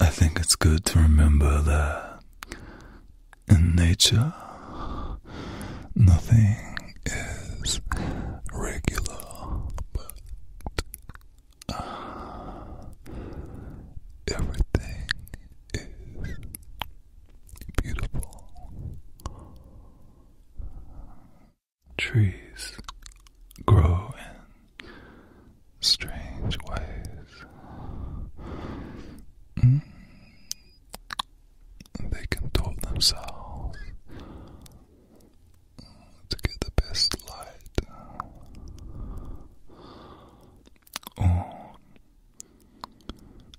I think it's good to remember that in nature, nothing is regular, but uh, everything is beautiful. Trees grow in strange ways. Mm. They control themselves to get the best light. Or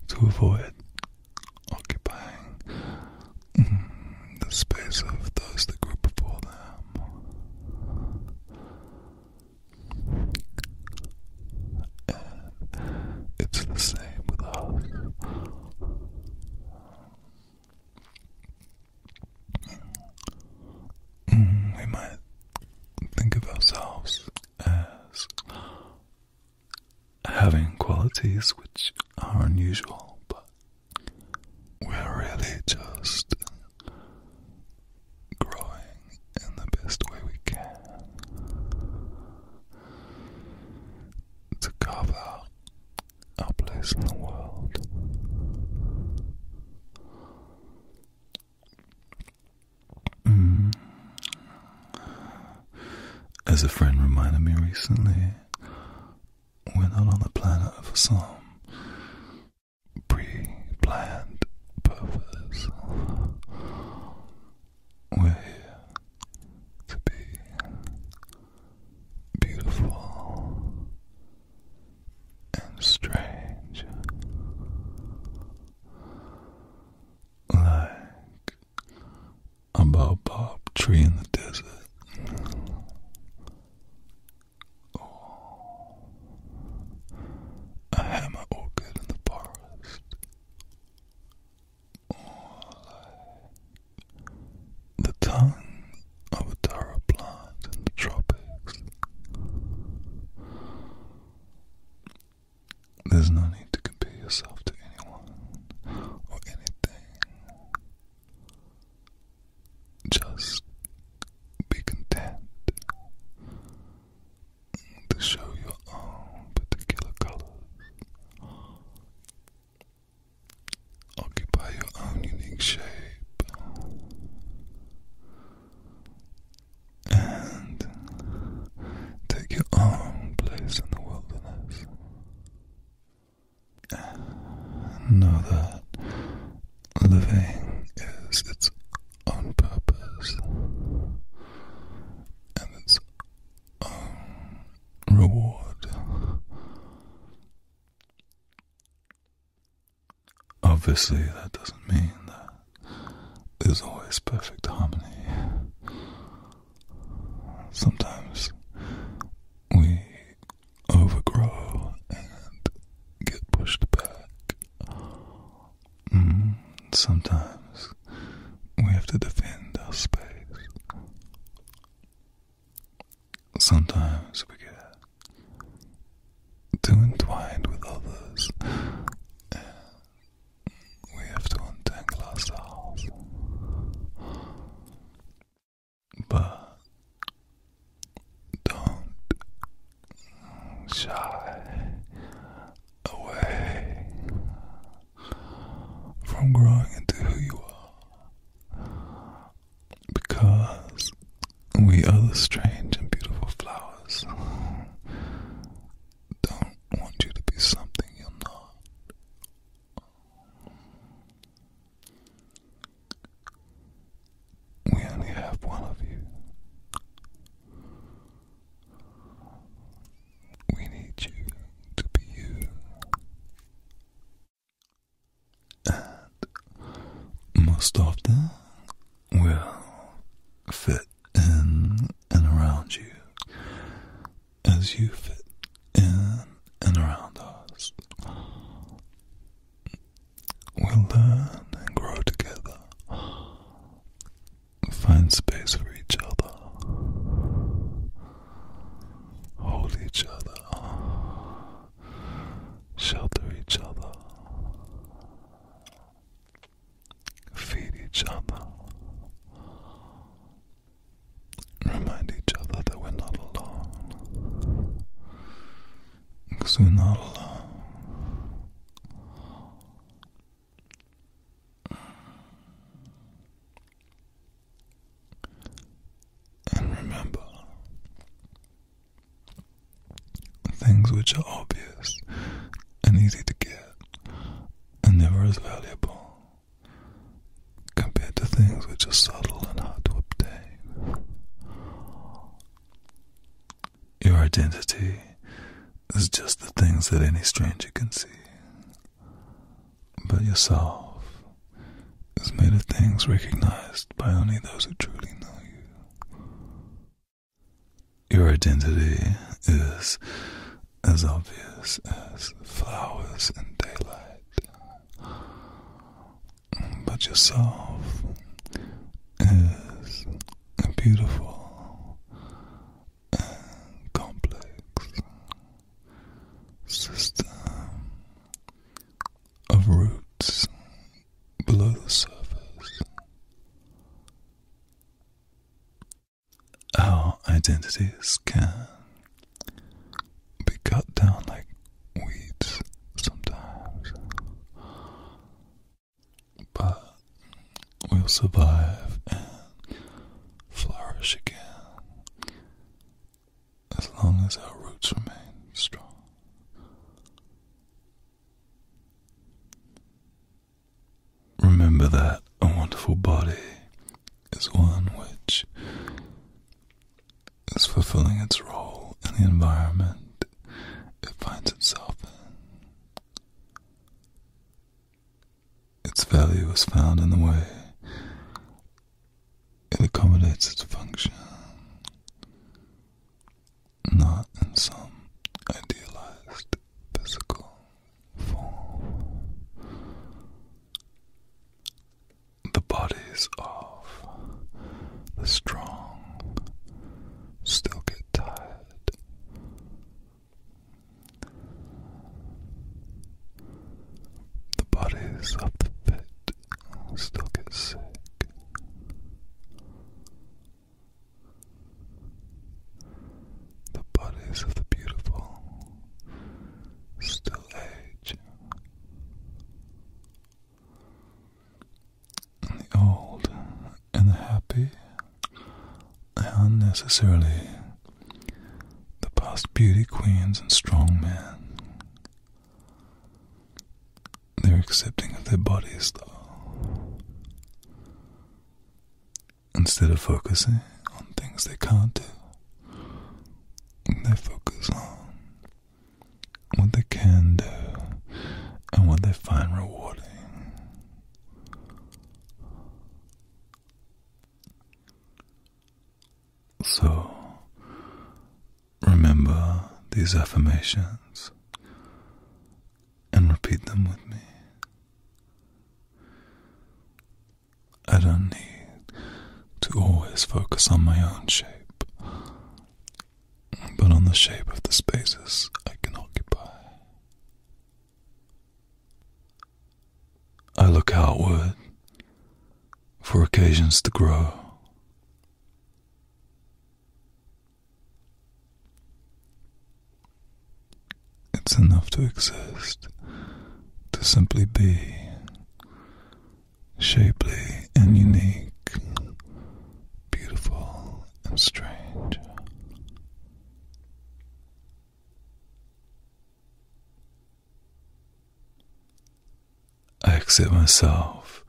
to avoid occupying the space of those that grew before them. And it's the same with us. Mm, we might think of ourselves as having qualities which are unusual, but we're really just growing in the best way we can to carve out our place in the world. Mm. As a friend reminded me recently, we're not on the planet for some pre planned purpose. We're here to be beautiful and strange. Like about Bob Tree in the Desert. Oh, a hammer orchid in the forest. Oh, the tongue of a taro plant in the tropics. There's no need to compare yourself to anyone or anything. Just be content to show your own particular colors. Occupy your own unique shape. And take your own place in the wilderness. Know that living is its own purpose and its own reward. Obviously, that doesn't mean that there's always perfect harmony sometimes we overgrow and get pushed back. Mm, sometimes we have to defend our space. Sometimes we get too entwined with others we have to untangle ourselves. But don't shy away from growing into who you are because we are the strange and beautiful flowers. Don't want you to be something you're not. We only have one of you. We need you to be you. And most often will fit in and around you as you fit in and around us. We'll learn and grow together, find space for each other, hold each other, shelter each other, feed each other remind each other that we're not alone. we're not alone. And remember, things which are obvious and easy to get and never as valuable compared to things which are subtle and hard to obtain. Your identity is just the things that any stranger can see, but yourself is made of things recognized by only those who truly know you. Your identity is as obvious as flowers in daylight. But yourself is beautiful and complex system of roots below the surface our identities can be cut down like weeds sometimes. But we'll survive and flourish again as long as our roots remain strong. Remember that a wonderful body is one which is fulfilling its role in the environment it finds itself in. Its value is found in the way it accommodates its function, not in some idealized physical the bodies of the strong still get tired. The bodies of the fit still get sick. The bodies of the beautiful still age, and the old and the happy, unnecessarily the past beauty queens and strong men. They're accepting of their bodies, though. Instead of focusing on things they can't do, they focus on what they can do and what they find rewarding. So, remember these affirmations and repeat them with me. I don't need to always focus on my own shape, but on the shape of the spaces I can occupy. I look outward for occasions to grow. It's enough to exist, to simply be shapely and unique, beautiful and strange. I accept myself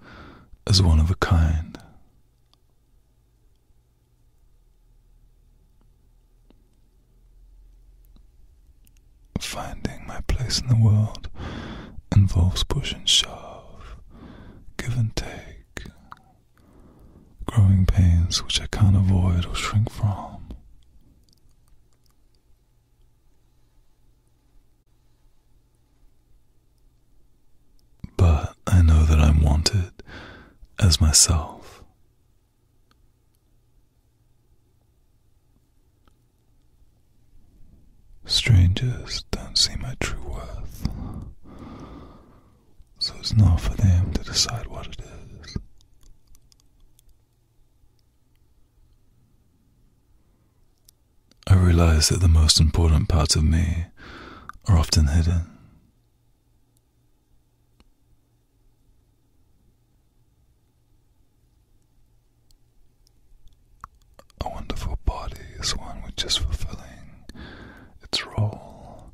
as one of a kind. Finding my place in the world involves push and shove, give and take, growing pains which I can't avoid or shrink from. But I know that I'm wanted as myself. Strangers don't see my true worth, so it's not for them to decide what it is. I realize that the most important parts of me are often hidden. A wonderful body is one which is fulfilling its role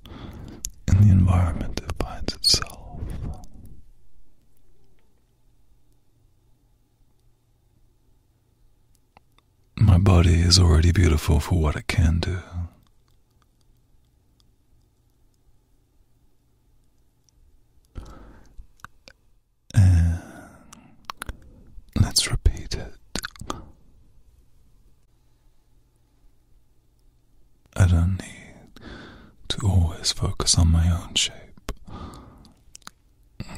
in the environment it finds itself. My body is already beautiful for what it can do. let's repeat it. I don't need to always focus on my own shape,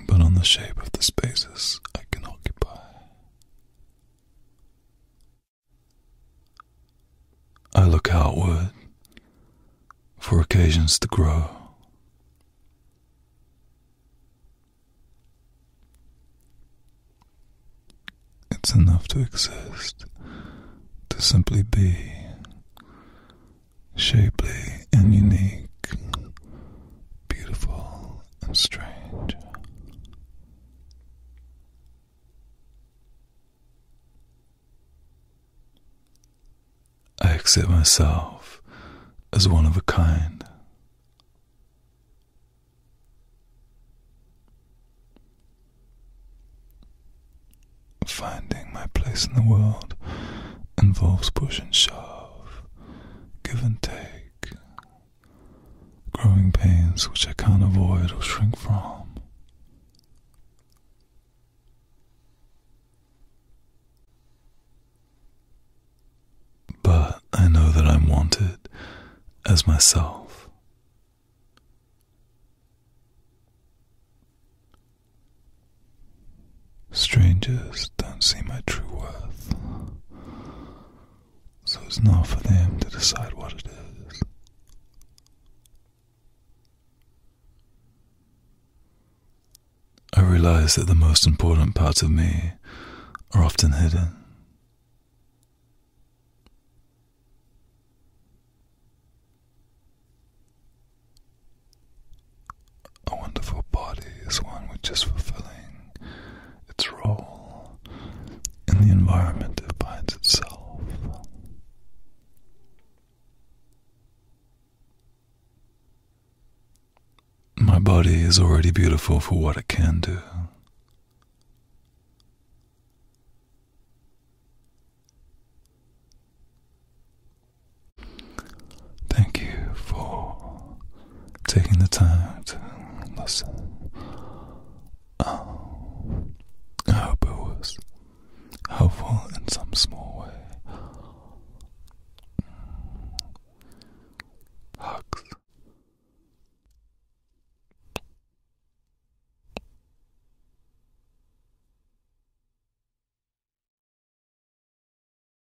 but on the shape of the spaces I can occupy. I look outward for occasions to grow. It's enough to exist, to simply be shapely and unique, beautiful gentle and strange. I accept myself as one of a kind. Finding my place in the world involves push and shove, give and take, growing pains which I can't avoid or shrink from. But I know that I'm wanted as myself. Strangers don't see my true worth. So it's not for them to decide what it is. I realize that the most important parts of me are often hidden. A wonderful body is one which is fulfilling its role in the environment it finds itself. My body is already beautiful for what it can do. Thank you for taking the time to listen. Oh, I hope it was helpful in some small way. Hugs.